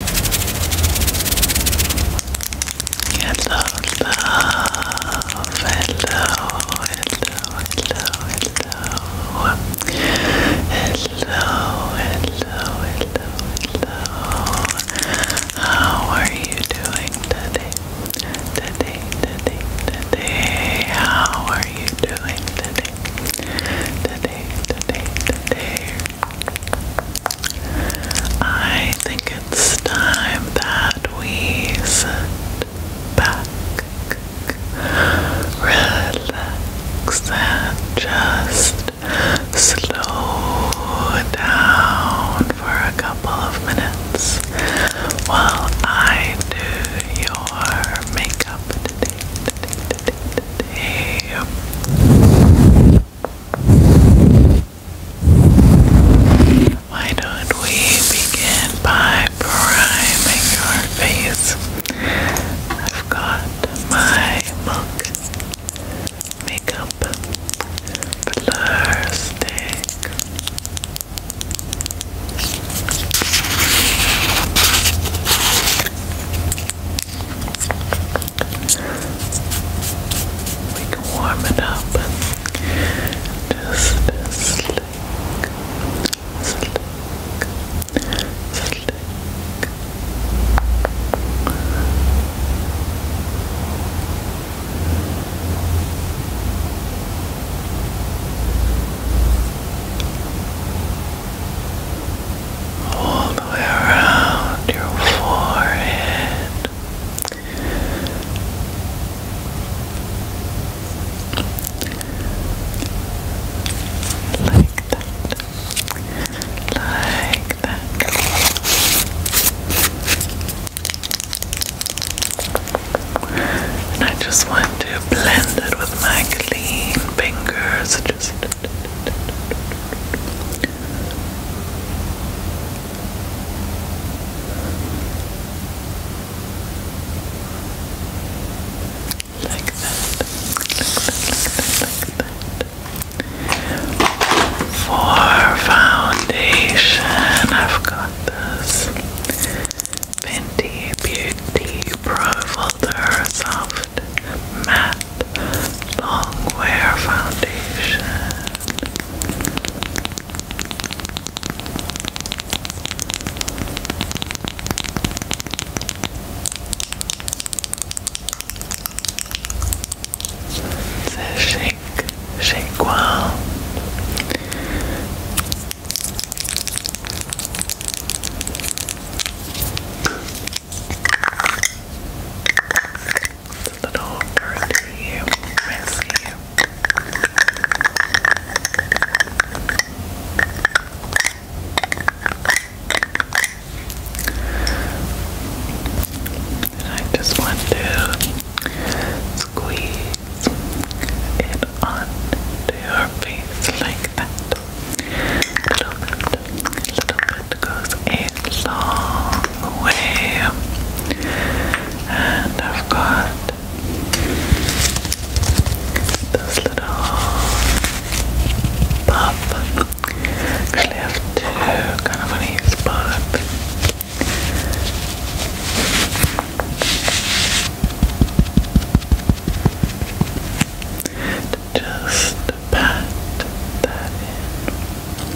Hello, love. Hello, hello, hello, hello, hello, hello, hello. How are you doing today? Today, today, today. How are you doing today? Today, today, today. I think it's time that we sit back, relax, and just slow down for a couple of minutes while I do your makeup why don't we begin by priming your face? I've got my milk makeup blur stick. We can warm it up and just slick, slick. Slick, all the way around your forehead. Like that. Like that. And I just want to blend it with my clean fingers. Just like that. Like that. Like that. For foundation, I've got this Fenty Beauty Pro Folder Soft Matte Longwear Foundation. The Shake Shake Wow. The little dirty, messy. And I just want to squeeze it onto your face like that little bit, little bit goes a long way. And I've got those little pop. Actually, I kind of want to just pat that in.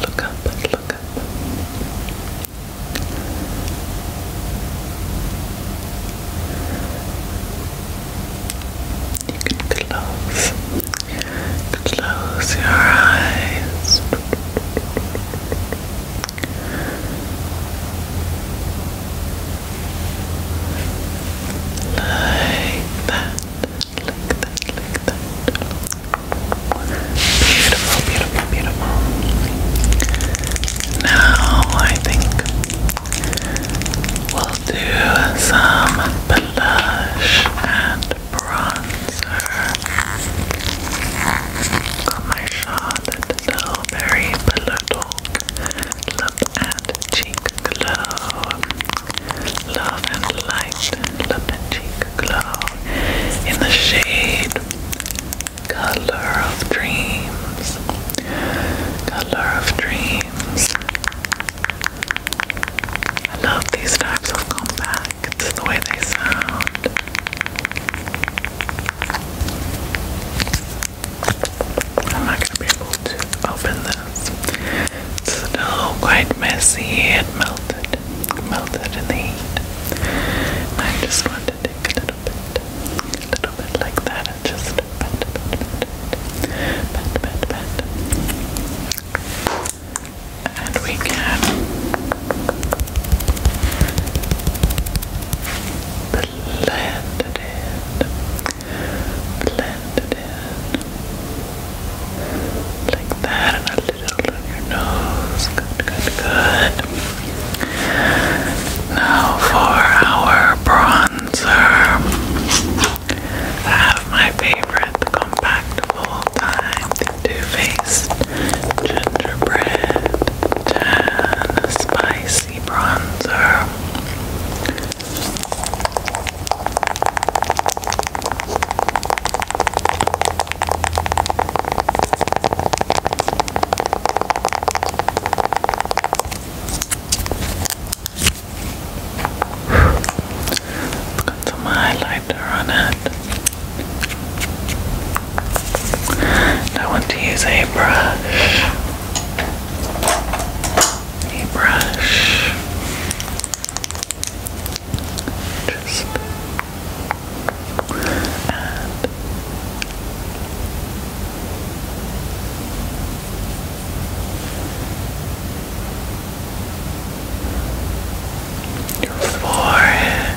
Look up, look up. You can close, close your eyes. Like that, like that, like that. Beautiful, beautiful, beautiful. Now I think we'll do some blush and bronzer my Charlotte Tilbury Pillow Talk Lip and Cheek Glow Love and Light Lip and Cheek Glow in the shade Color of Dreams Color of Dreams I love these types of compacts, the way they sound. I'm not going to be able to open this. still quite messy. It melted. Melted in the heat. I just want to take a little bit. A little bit like that and just pat, pat, pat, pat, pat, pat. And we can Blend it in. Blend it in. Like that and a little on your nose. Good, good, good. Now for our bronzer. I have my favorite, the compactable time, the too Faced Gingerbread Tan Spicy Bronzer. got some highlighter on it. I want to use a brush. A brush. Just and your forehead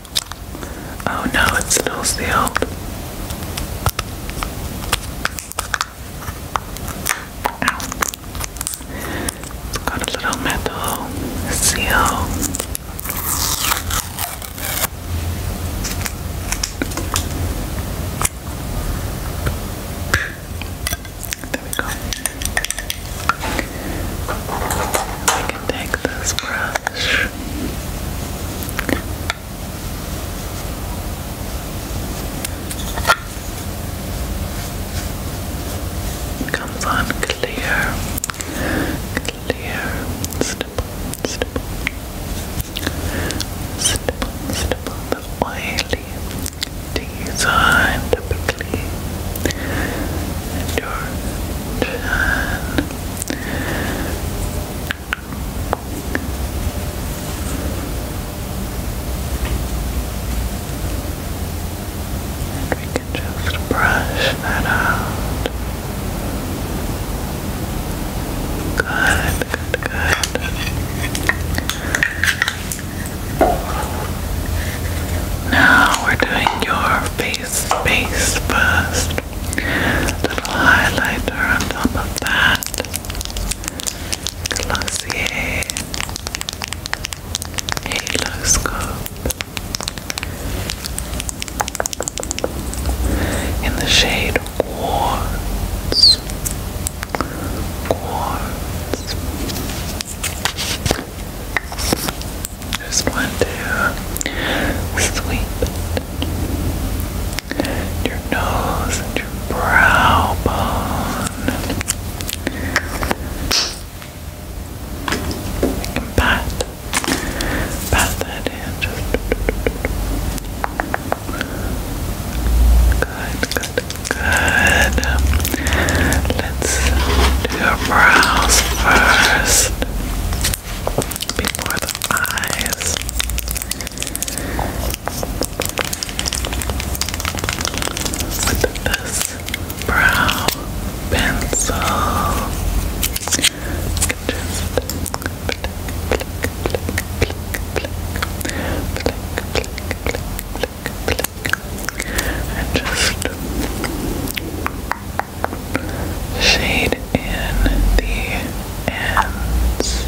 Oh no, it's still sealed. Ow. It's got a little metal seal. There we go. I can take this brush. It comes on clear, clear, stipple, stipple, stipple, stipple, the oily design typically, and and we can just brush that out. Good, good, good. Now we're doing your face, face first. Little highlighter on top of that. Glossier Halo in the shade Quartz. Quartz. Just want to sweep your nose and your brow bone. You can pat, pat that in. Just good, good, good. Let's do your brows first before the eyes. With this brow pencil, you just flick, flick, flick, flick, flick, flick, flick, flick, flick, and just shade in the ends.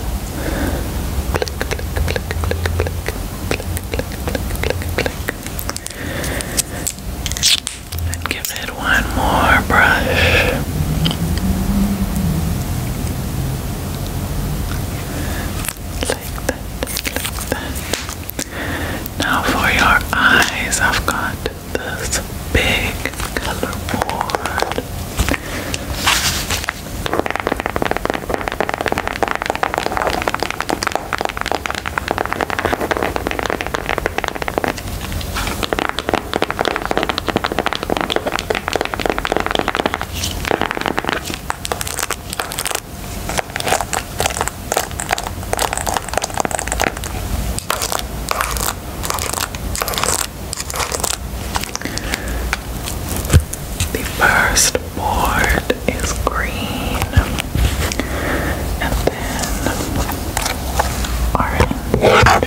And give it one more brush. like that. Now for your eyes, I've got this big color board. The first board is green and then orange.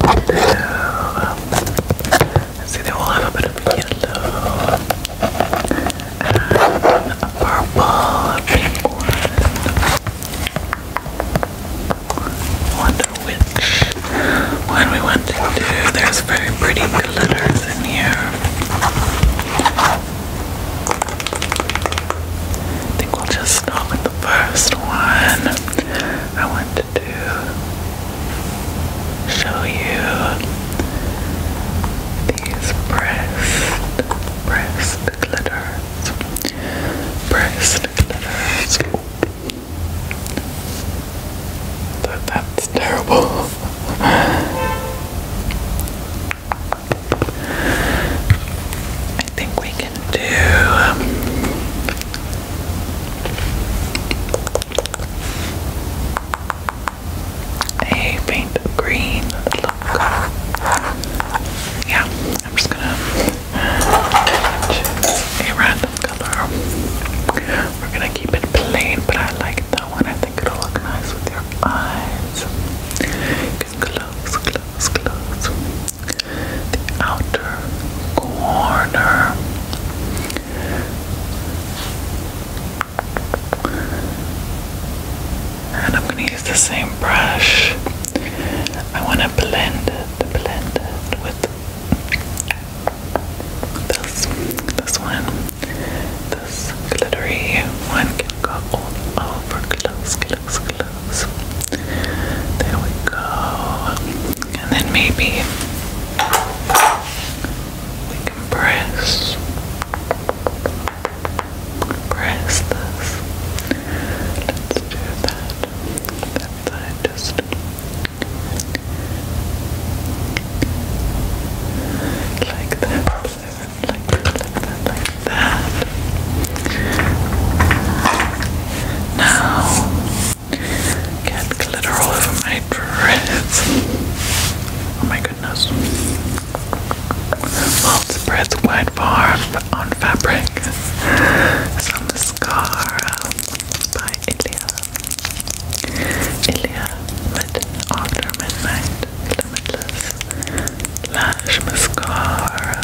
Blue. See, they all have a bit of yellow purple pink Wonder which one we want to do. There's very pretty glitters in here. I think we'll just start with the first one. I want to do show you these breast, breast glitters, breast glitters. That, that's terrible. I think we can do. Um, a paint of green Yeah, I'm just gonna a random color. We're gonna keep it plain, but I like that one. I think it'll look nice with your eyes. close, close, close. The outer corner. And I'm going to use the same brush. I want to blend it, blend it with this, this one. This glittery one can go all over, close, close, close. There we go. And then maybe press, press this. Let's do that. That side just like that, like that, like that, like that. Now. Get glitter all over my dress. Oh my goodness. spreads wide far on fabric. Some mascara uh, by Ilia. Ilia Mid After Midnight Limitless Lash Mascara.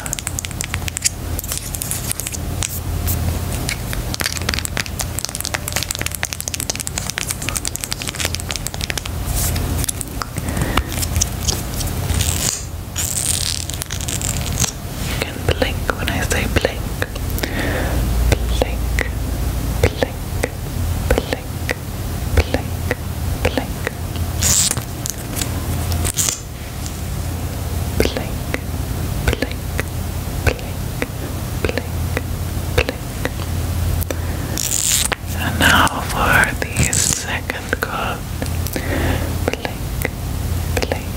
You blink when I say blink. Blink, blink, blink, blink, blink. Blink, blink, blink, blink, blink. And now for the second card. Blink, blink, blink,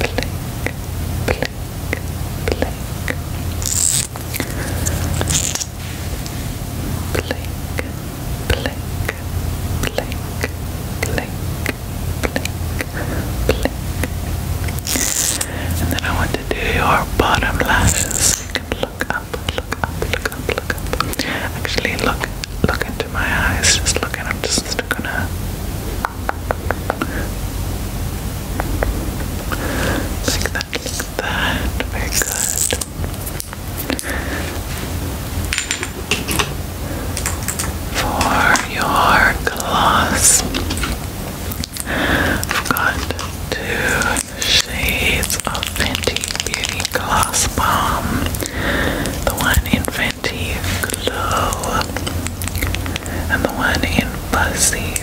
blink, blink. Blink, blink, blink, blink, blink, blink. And then I want to do your bottom lashes. look up, look up, look up, look up. Actually, look, look into my eyes. Just look, and I'm just gonna. Like that, like that. Very good. For your gloss, Got two shades of Fenty Beauty Gloss Balm. The one in Fenty Glow and the one in Fuzzy.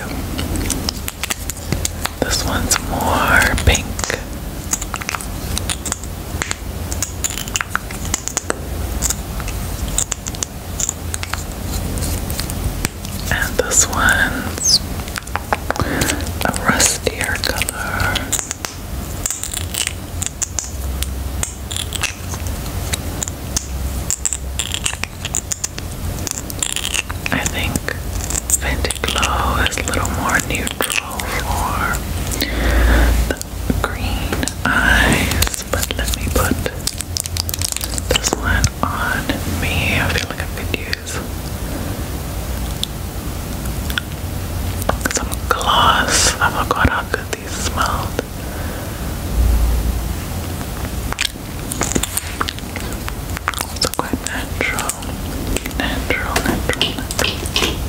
This one's more pink. And this one's a rustier color. I think Fenty Glow is a little more neutral for green eyes this, but let me put this one on me. I feel like I could use some gloss. I forgot how good these smelled. Also quite natural, natural, natural.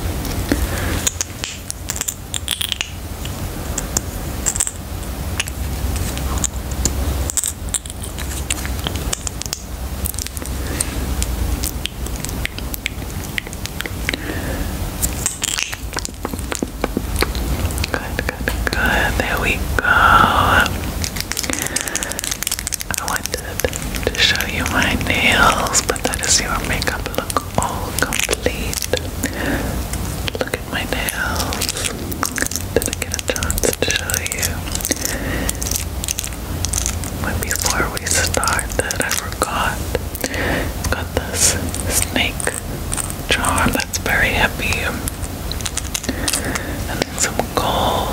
Good, good, good. There we go. I wanted to show you my nails, but that is your makeup look all complete. Look look at my nails. Didn't get a chance to show you. But before we started, I forgot. Got this snake jar that's very heavy. And then some gold.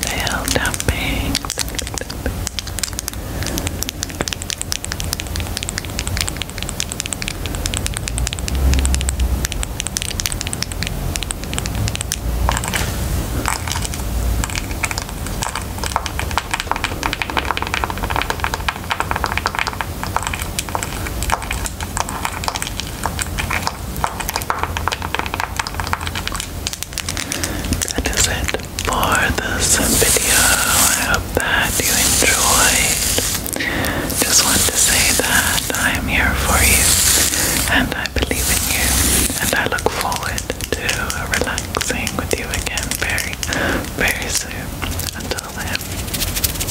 Tail tapping. That is it for this video. I hope that you enjoyed. Just want to say that I am here for you and I believe in you and I look forward to relaxing with you again very, very soon. Until then.